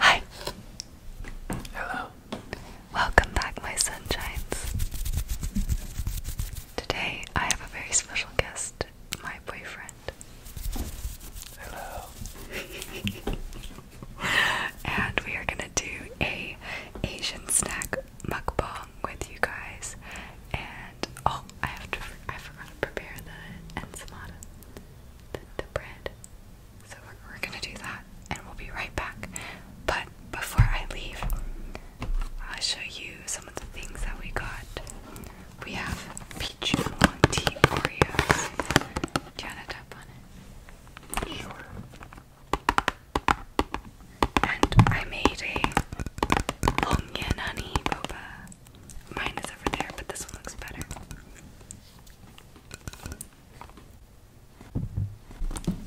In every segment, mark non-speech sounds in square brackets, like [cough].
Hi. Hello. Welcome back, my sunshines. Today I have a very special guest, my boyfriend. Hello. [laughs] and we are gonna do a Asian snack mukbang with you guys and oh, I have to. I forgot to prepare the ensamada, the, bread. So we're, gonna do that, and we'll be right back. But before I leave, I'll show you some of the things that we got. We have peach and Oreos. Do you on it? Sure. And I made a long honey boba. Mine is over there, but this one looks better.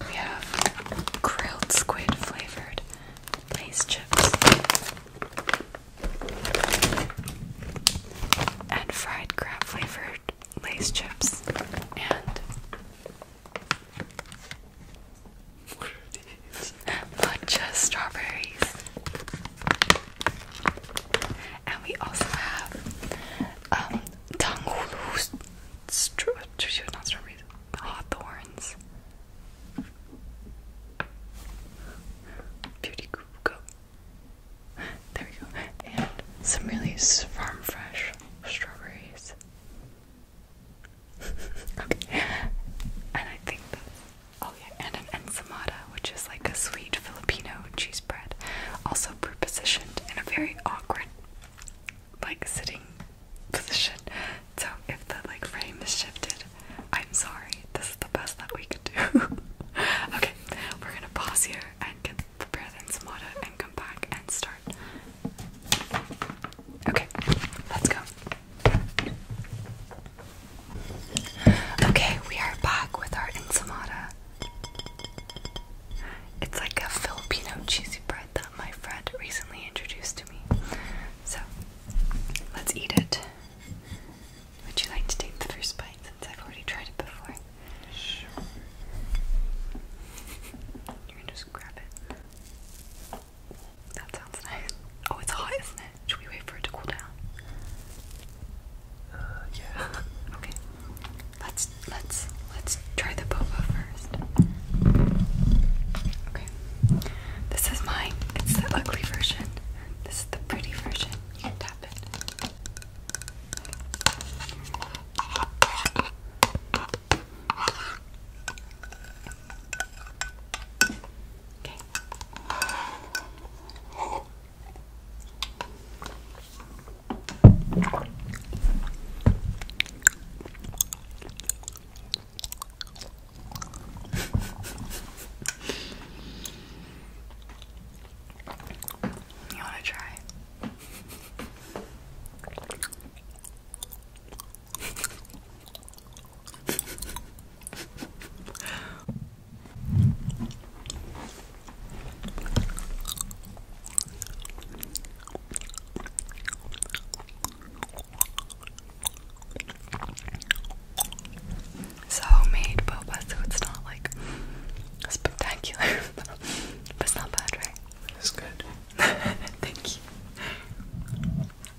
We have grilled squid flavored Lay's chips and fried crab flavored Lay's chips and what are strawberries. And we also have um Tanghulu str not strawberries, hawthorns. Beauty Group There we go. And some really farm fresh strawberries okay. And I think Oh, yeah, and an ensamada, which is like a sweet Filipino cheese bread, also prepositioned in a very awkward, like, sitting position. So if the like frame is shifted, I'm sorry. This is the best that we could do. [laughs] okay, we're gonna pause here and get prepare the ensamada and come back and start. Okay, let's go. Okay, we are back with our ensamada. It's like a Filipino cheesy bread that my friend recently introduced to me. So, let's eat it. Would you like to take the first bite since I've already tried it before? Sure. You can just grab it. That sounds nice. Oh, it's hot, isn't it? Should we wait for it to cool down? Uh, yeah. [laughs] okay. Let's let's let's try the boba first. Okay. This is mine. It's the ugly version. This is the pretty version. You can tap it. Okay. you want to try? So homemade boba, so it's not like spectacular, [laughs] it's not bad, right? It's good. [laughs] Thank you. Okay.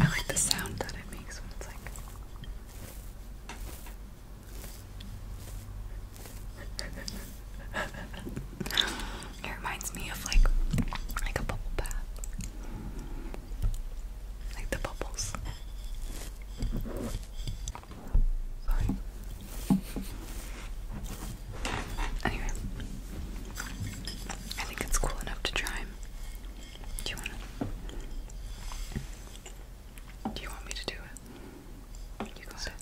I like the sound that it makes when it's like. [laughs] it reminds me of like like a bubble bath. Like the bubbles. Sorry. Anyway. I think it's cool enough to try. Do you want Do you want me to do it? You got it.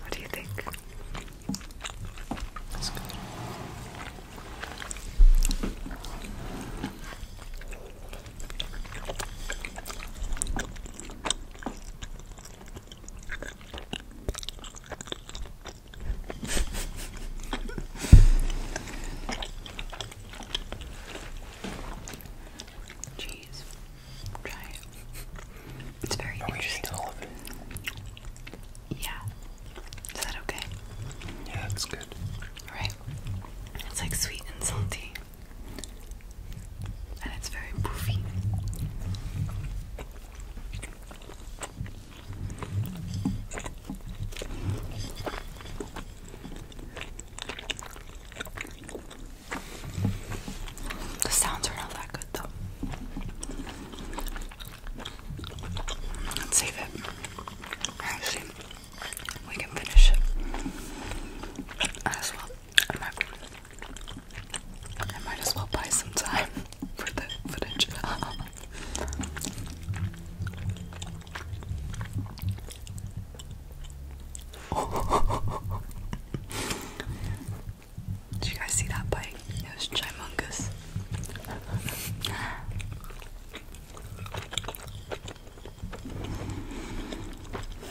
What do you think? That's good. Jeez. Try it. It's very Are Yeah. Is that okay? Yeah, that's good. Right. It's like sweet and salty and it's very poofy. The sounds are not that good though. Let's save it. Actually, we can finish it as well i might as well buy some time [laughs] for the footage. [laughs] Did you guys see that bite? It was gimungus.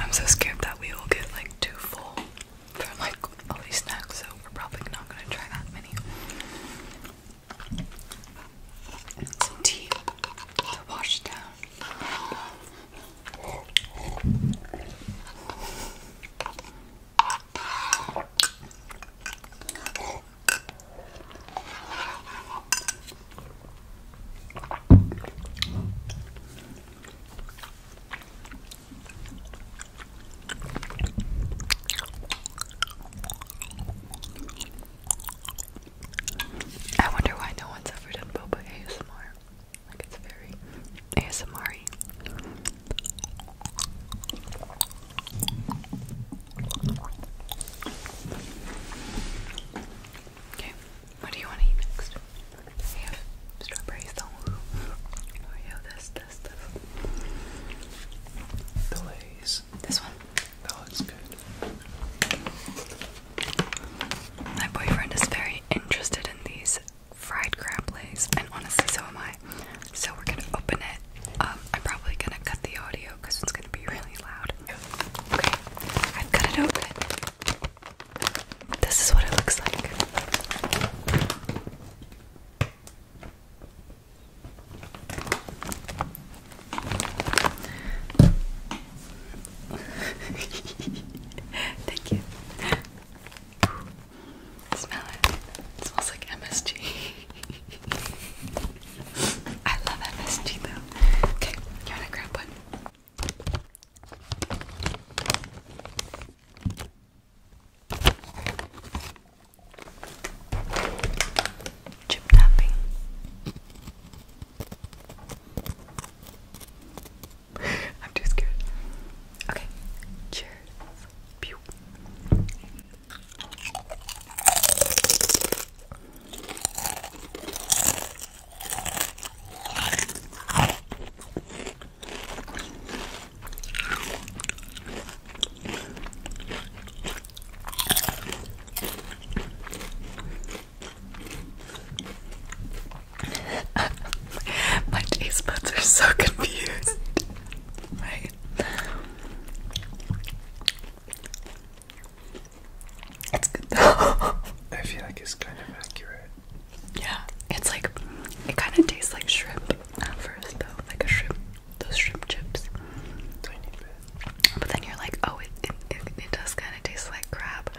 I'm so scared that we will get like too full from like all these snacks, so we're probably not gonna try that many. Some tea to wash down. I wonder why no one's ever done boba ASMR. Like it's very ASMR Okay, what do you want to eat next? We have strawberries though. Oh, this, this, this. The Lays. This one? That looks good. My boyfriend is very interested in these fried crab Lays, and honestly, so am I. So we're gonna open it. Um, I'm probably gonna cut the audio because it's gonna be really loud. Okay, I've cut it open. This is what it looks like. [laughs] Thank you. Smell it. smells like MSG. [laughs] I love MSG though. Okay, you wanna grab one? Chip tapping. [laughs] I'm too scared. Okay, cheers. Pew. [laughs] My taste buds are so confused. [laughs] right. It's good though. [laughs] I feel like it's kind of accurate. Yeah, it's like it kind of tastes like shrimp at first, though, like a shrimp, those shrimp chips. Tiny bit. But then you're like, oh, it it, does kind of taste like crab,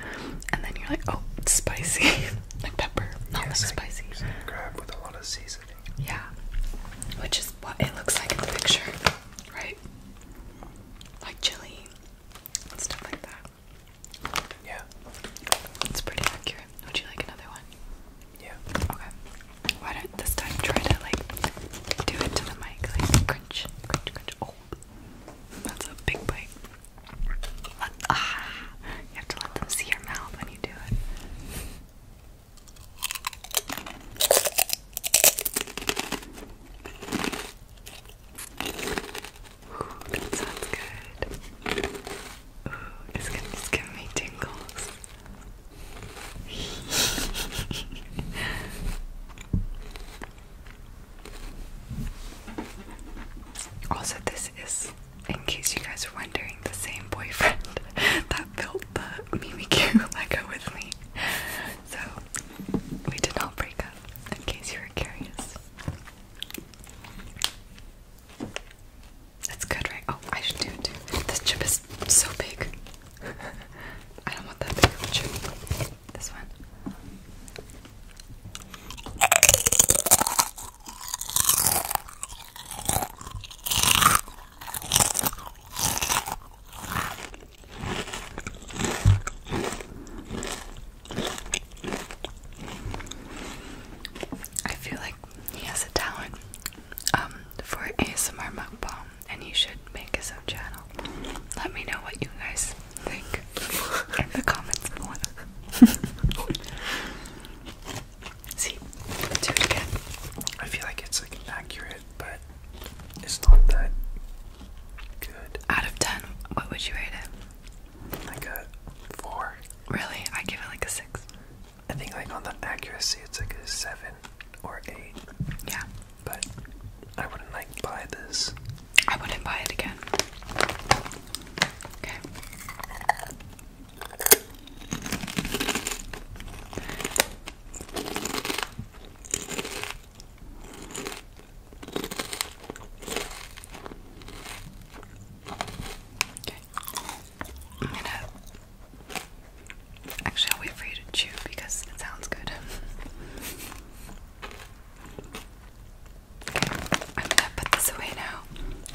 and then you're like, oh, it's spicy, [laughs] like pepper, not yeah, like spicy. crab with a lot of seasoning. Yeah, which is what it looks like in the picture, right? Like chili, yeah. It's pretty accurate. Would you like another one? Yeah. Okay. Why don't this time try to like do it to the mic, crunch, crunch, crunch. Oh, that's a big bite. ah, you have to let them see your mouth when you do it that sounds good. Ooh, it's gonna just give me tingles. [laughs] also, this is, in case you guys are wondering, the same boyfriend [laughs] that built the Mimikyu Lego with me. So, we did not break up in case you were curious. That's good, right? Oh, I should do it too. This chip is so big. [laughs] I don't want that big chip. This one. I feel like he has a talent um, for ASMR mukbang, and he should make his own channel. Let me know what you guys think in the comments below. [laughs] See, do it again. I feel like it's like accurate, but it's not that out of 10, what would you rate it? Like a 4. Really? I give it like a 6. I think like on the accuracy it's like a 7 or 8. Yeah. But I wouldn't like buy this. I wouldn't buy it again. Okay. Okay. i actually I'll wait for you to chew because it sounds good. okay. [laughs] I'm gonna put this away now.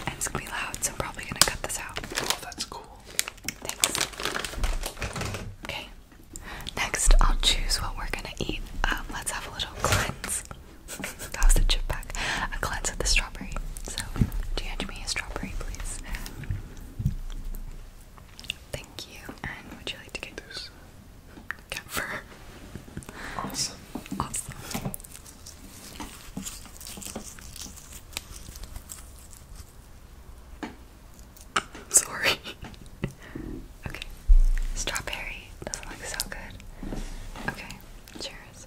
it's going loud, so I'm probably gonna cut this out. Oh, that's cool. Thanks. Okay. Next, I'll choose what we're gonna eat. Um, let's have a little cleanse. [laughs] that was a chip pack. A cleanse with the strawberry. So, do you hand me a strawberry, please? Thank you. And would you like to get this? Cat Awesome. I'm [laughs] sorry. [laughs] okay. Strawberry doesn't look so good. Okay. Cheers.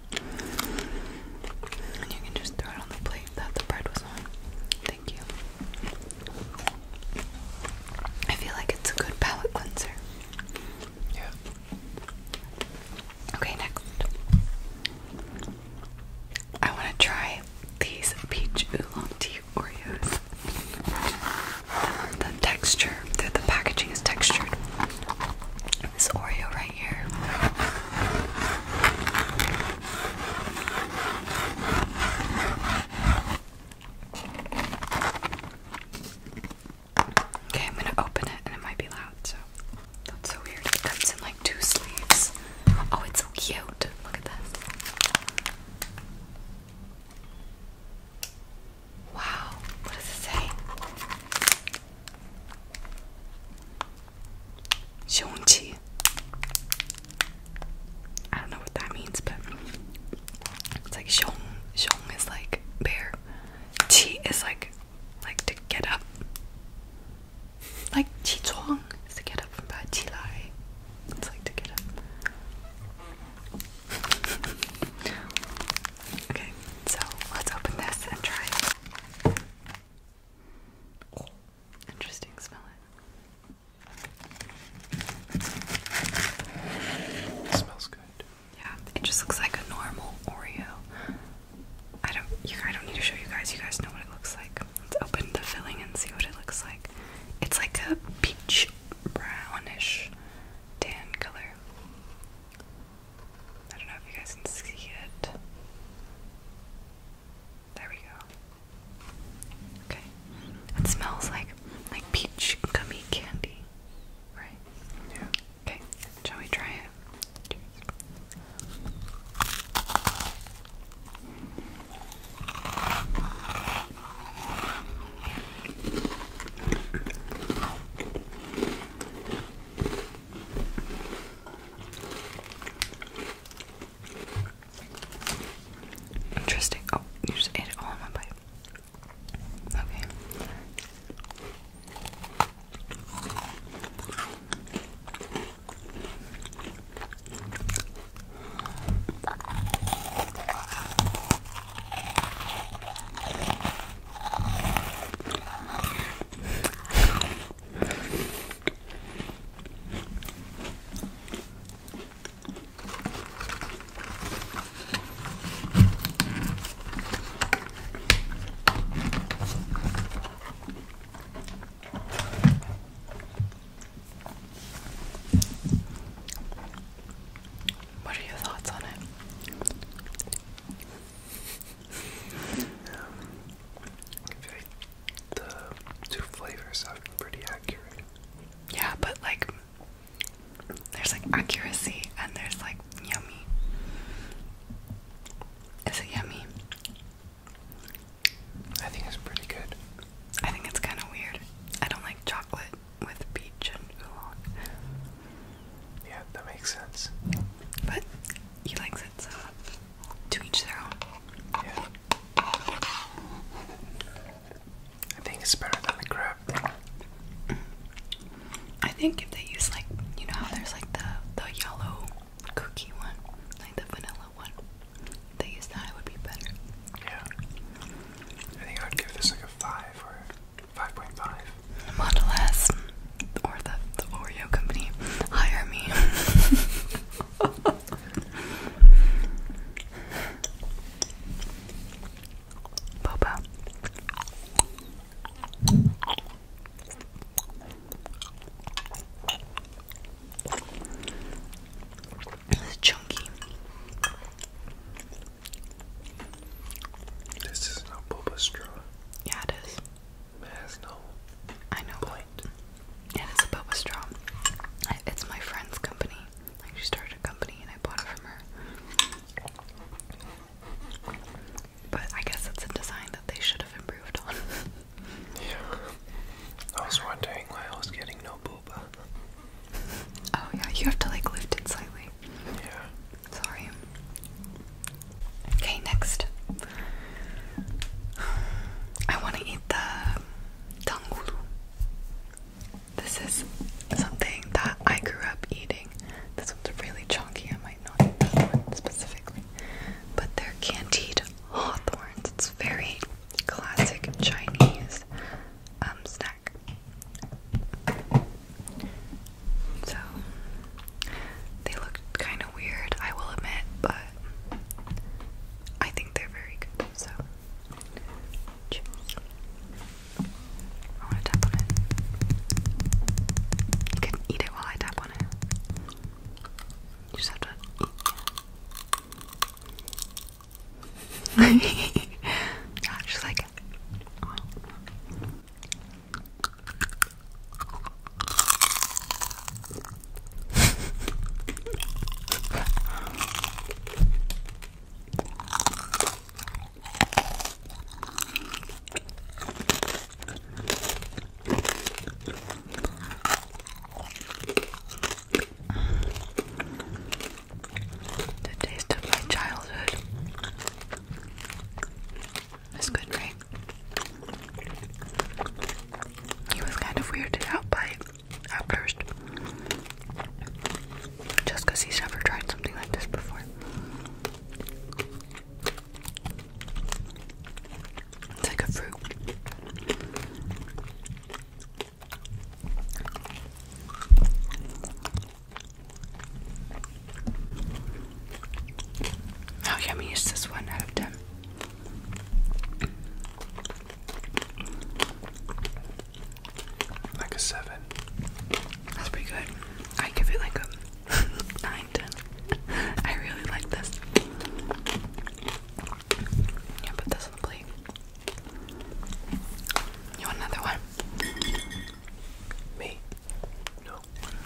And you can just throw it on the plate that the bread was on. Thank you. I feel like it's a good palate cleanser. Yeah. Okay, next. I want to try these peach oolong tea Oreos. The, texture, the packaging is textured. This Oreo right here. Okay, I'm gonna open it and it might be loud, so that's so weird. It comes in like two sleeves. Oh, it's so cute. Look at this. Wow, what does it say? Xiongqi. I don't know what that means, but it's like xiong. Xiong is like bear. Qi is like like to get up. Like qi chuang is to get up from bed. Qi lai. It's like to get up. [laughs] okay, so let's open this and try Interesting, smell it. smells good. Yeah, it just looks like a normal Oreo. I don't I don't need to show you guys, you guys know what it looks like. Let's open the filling and see what it looks like. It's like a peach brownish tan color. I don't know if you guys can see it. There we go. Okay. It smells like like peach gummy candy, right? Yeah. Okay. Shall we try it? Interesting. Oh, you just ate it all in one bite. Okay. What are your thoughts on it? the two flavors sound pretty accurate. Yeah, but like, there's like accuracy and there's like yummy. Is it yummy? I think it's pretty good. I think it's kind of weird. I don't like chocolate with peach and oolong. Yeah, that makes sense. But he likes it, so to each their own. Yeah. I think it's better than the crab. I think if they use like you know how there's like the the yellow cookie one, like the vanilla one. they use that it would be better. Yeah. I think I would give this like a five or 5.5. Model S or the, the Oreo company. Hire me. [laughs] Boba. It's chunky. This is not boba straw. Yeah, it is. It has no. I know. It is a boba straw. it's my friend's company. Like she started a company, and I bought it from her. But I guess it's a design that they should have improved on. [laughs] yeah. I was wondering why I was getting no boba. Oh yeah, you have to like lift it slightly. Yeah. Sorry. Okay, next. I want to eat the tangulu. This is something that I grew up eating. This one's really chunky. I might not eat this one specifically. But they're candied hawthorns. It's very classic Chinese um, snack. So they look kind of weird, I will admit, but I think they're very good. So I want to tap on it. You can eat it while I tap on it. You just have to I [laughs] just like it. The taste of my childhood. It's good, right? He was kind of weirded out by it at first. Just because he's never tried something like this before. It's like a fruit. How yummy is this one out Like a seven. That's pretty good. I give it like a [laughs] nine, ten. [laughs] I really like this. Yeah, put this on the plate. You want another one? Me? No.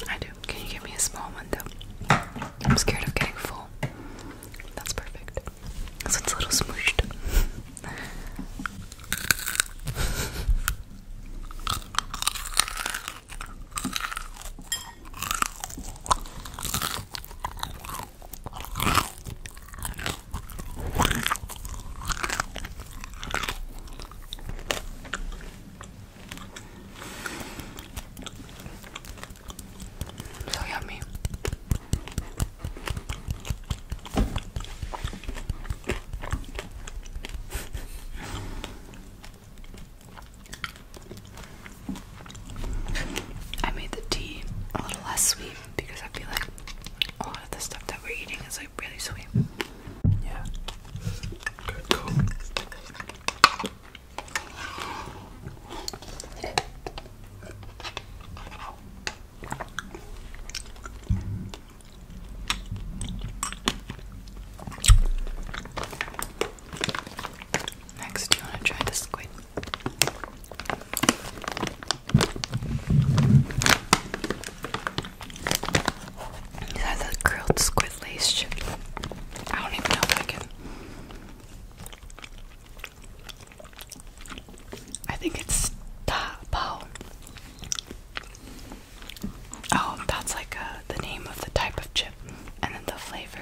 I do. Can you give me a small one though? I'm scared of getting full. That's perfect. So it's a little smooshed. So yummy. I made the tea a little less sweet because I feel like a lot of the stuff that we're eating is like really sweet. Yeah. Good, cool. Next, you want to try the squid? It a grilled squid lace chip. I don't even know if I can. I think it's tapo. Oh, that's like uh, the name of the type of chip, and then the flavor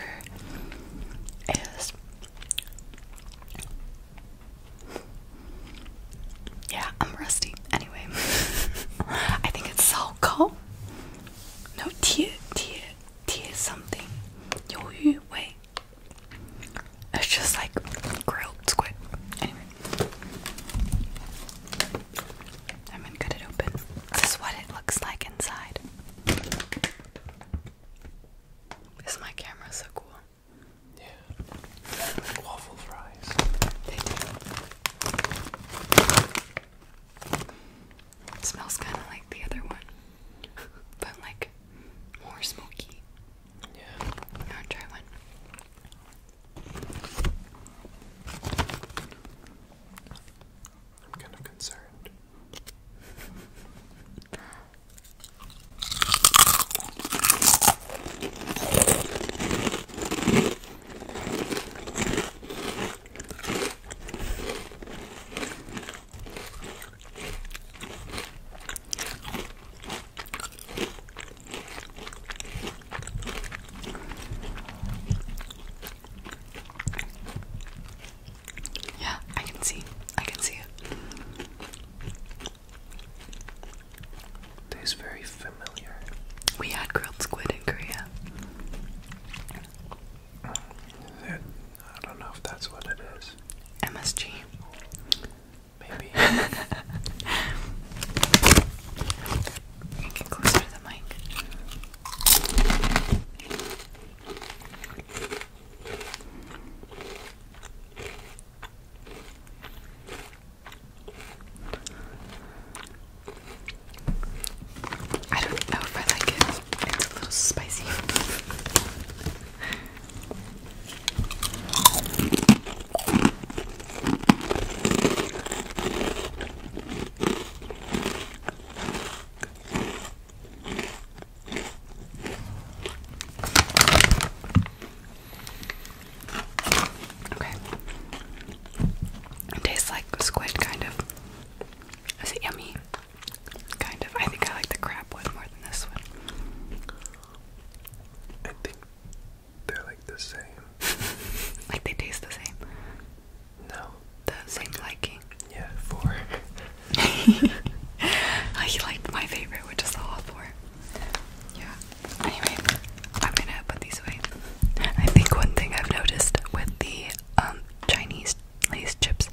is yeah, I'm rusty. Anyway, [laughs] I think it's Salko. No, tea, tea, tea, is something. Yoyu, wait. It's just like grilled squid. Anyway, I'm gonna cut it open. This is what it looks like inside. Is my camera so cool? Yeah. waffle fries. smells kind of like the other one, [laughs] but like more smoky. Yeah. Now try one. I'm kind of concerned. [laughs] Yeah, I can see. I can see it. Tastes very familiar. We had grilled squid in Korea. It, I don't know if that's what it is. MSG. Maybe. [laughs] get closer to the mic. I don't know if I like it. It's a little spicy. Okay. It tastes like squid, kind of. Is it yummy? Kind of. I think I like the crab one more than this one. I think they're like the same. [laughs] like they taste the same. No. The same liking. Yeah, four. [laughs] I liked my favorite, which is the four. Yeah. Anyway, I'm gonna put these away. I think one thing I've noticed with the um, Chinese lace chips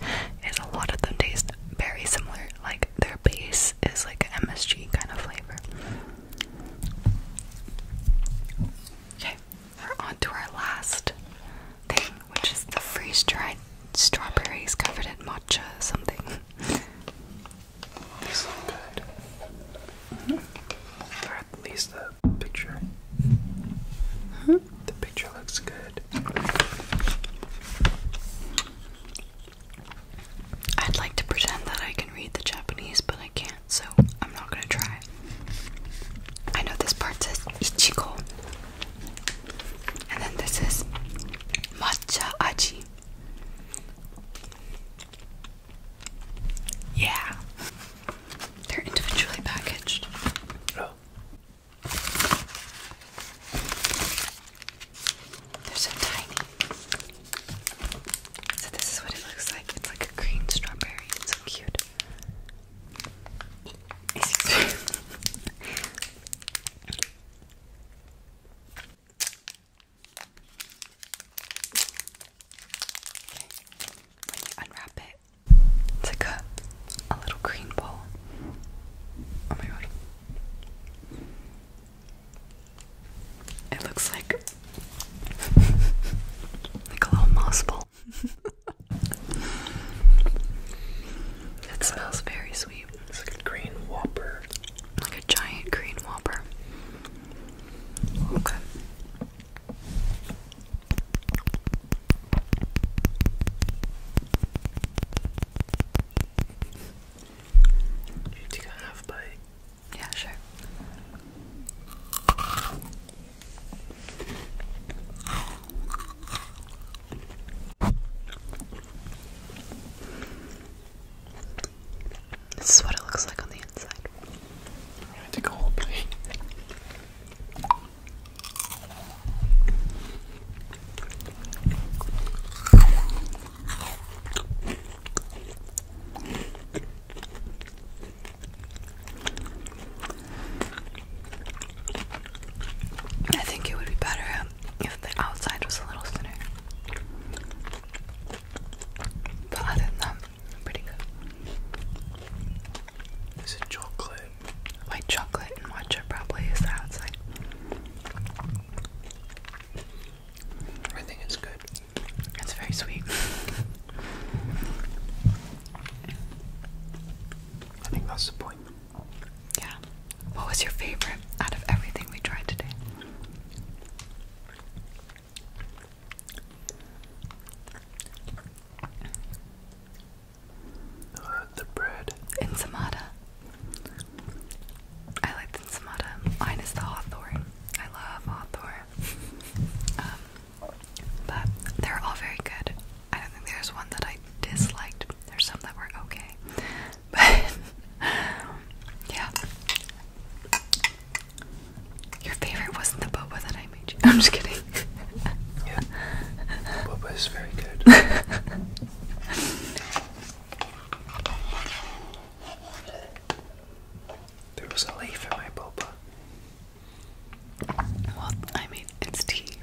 is a lot of them taste very similar. Like their base is like an MSG kind of flavor. Okay, we're on to our last thing, which is the freeze dried strawberries covered in matcha something. These look good. at least the picture. The picture looks good. I'd like to pretend that I can read the Japanese, but I can't, so I'm not gonna try. I know this part says Ichigo. And then this is matcha yeah. They're individually packaged. Oh. They're so tiny. So this is what it looks like. It's like a green strawberry. It's so cute. [laughs] When you unwrap it, it's like a, little green ball. Oh my god. It looks like [laughs] like a little moss ball. [laughs] it smells very sweet. It's like a green whopper a giant green whopper. Okay. You take a half bite. Yeah, sure. This is what it looks like on the inside. i think it would be better if the outside was a little thinner. But other than that, pretty good. Is it chocolate? White chocolate and matcha probably is the I think it's good. It's very sweet. I think that's the point. Yeah. What was your favorite out of everything we tried today? the bread. Insamata. I like the insamata. Mine is the hawthorn. I love hawthorn. [laughs] um, but they're all very good. I don't think there's one that I disliked. There's some that were okay. But [laughs] yeah. Your favorite wasn't the boba that I made [laughs] I'm just kidding. yeah. Boba is very good. [laughs] there was a leaf in my boba. Well, I mean, it's tea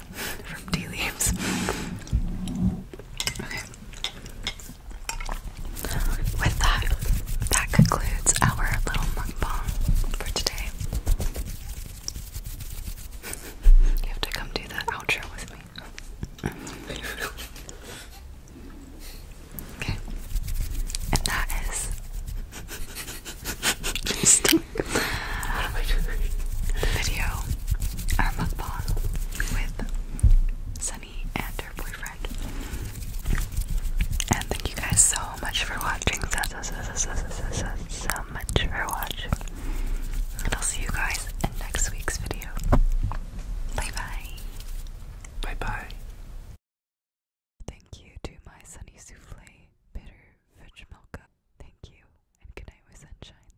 from tea leaves. With that, that concludes our little mukbang for today. [laughs] you have to come do the outro with me. [laughs] okay. And that is. [laughs] The video, our mukbang with. Seven and her boyfriend. And thank you guys so much for watching. So, so, so, so, so, so, so much for watching. And I'll see you guys in next week's video. Bye bye. Bye bye. Thank you to my Sunny Souffle Bitter Veg Milk Thank you, and good night with sunshine.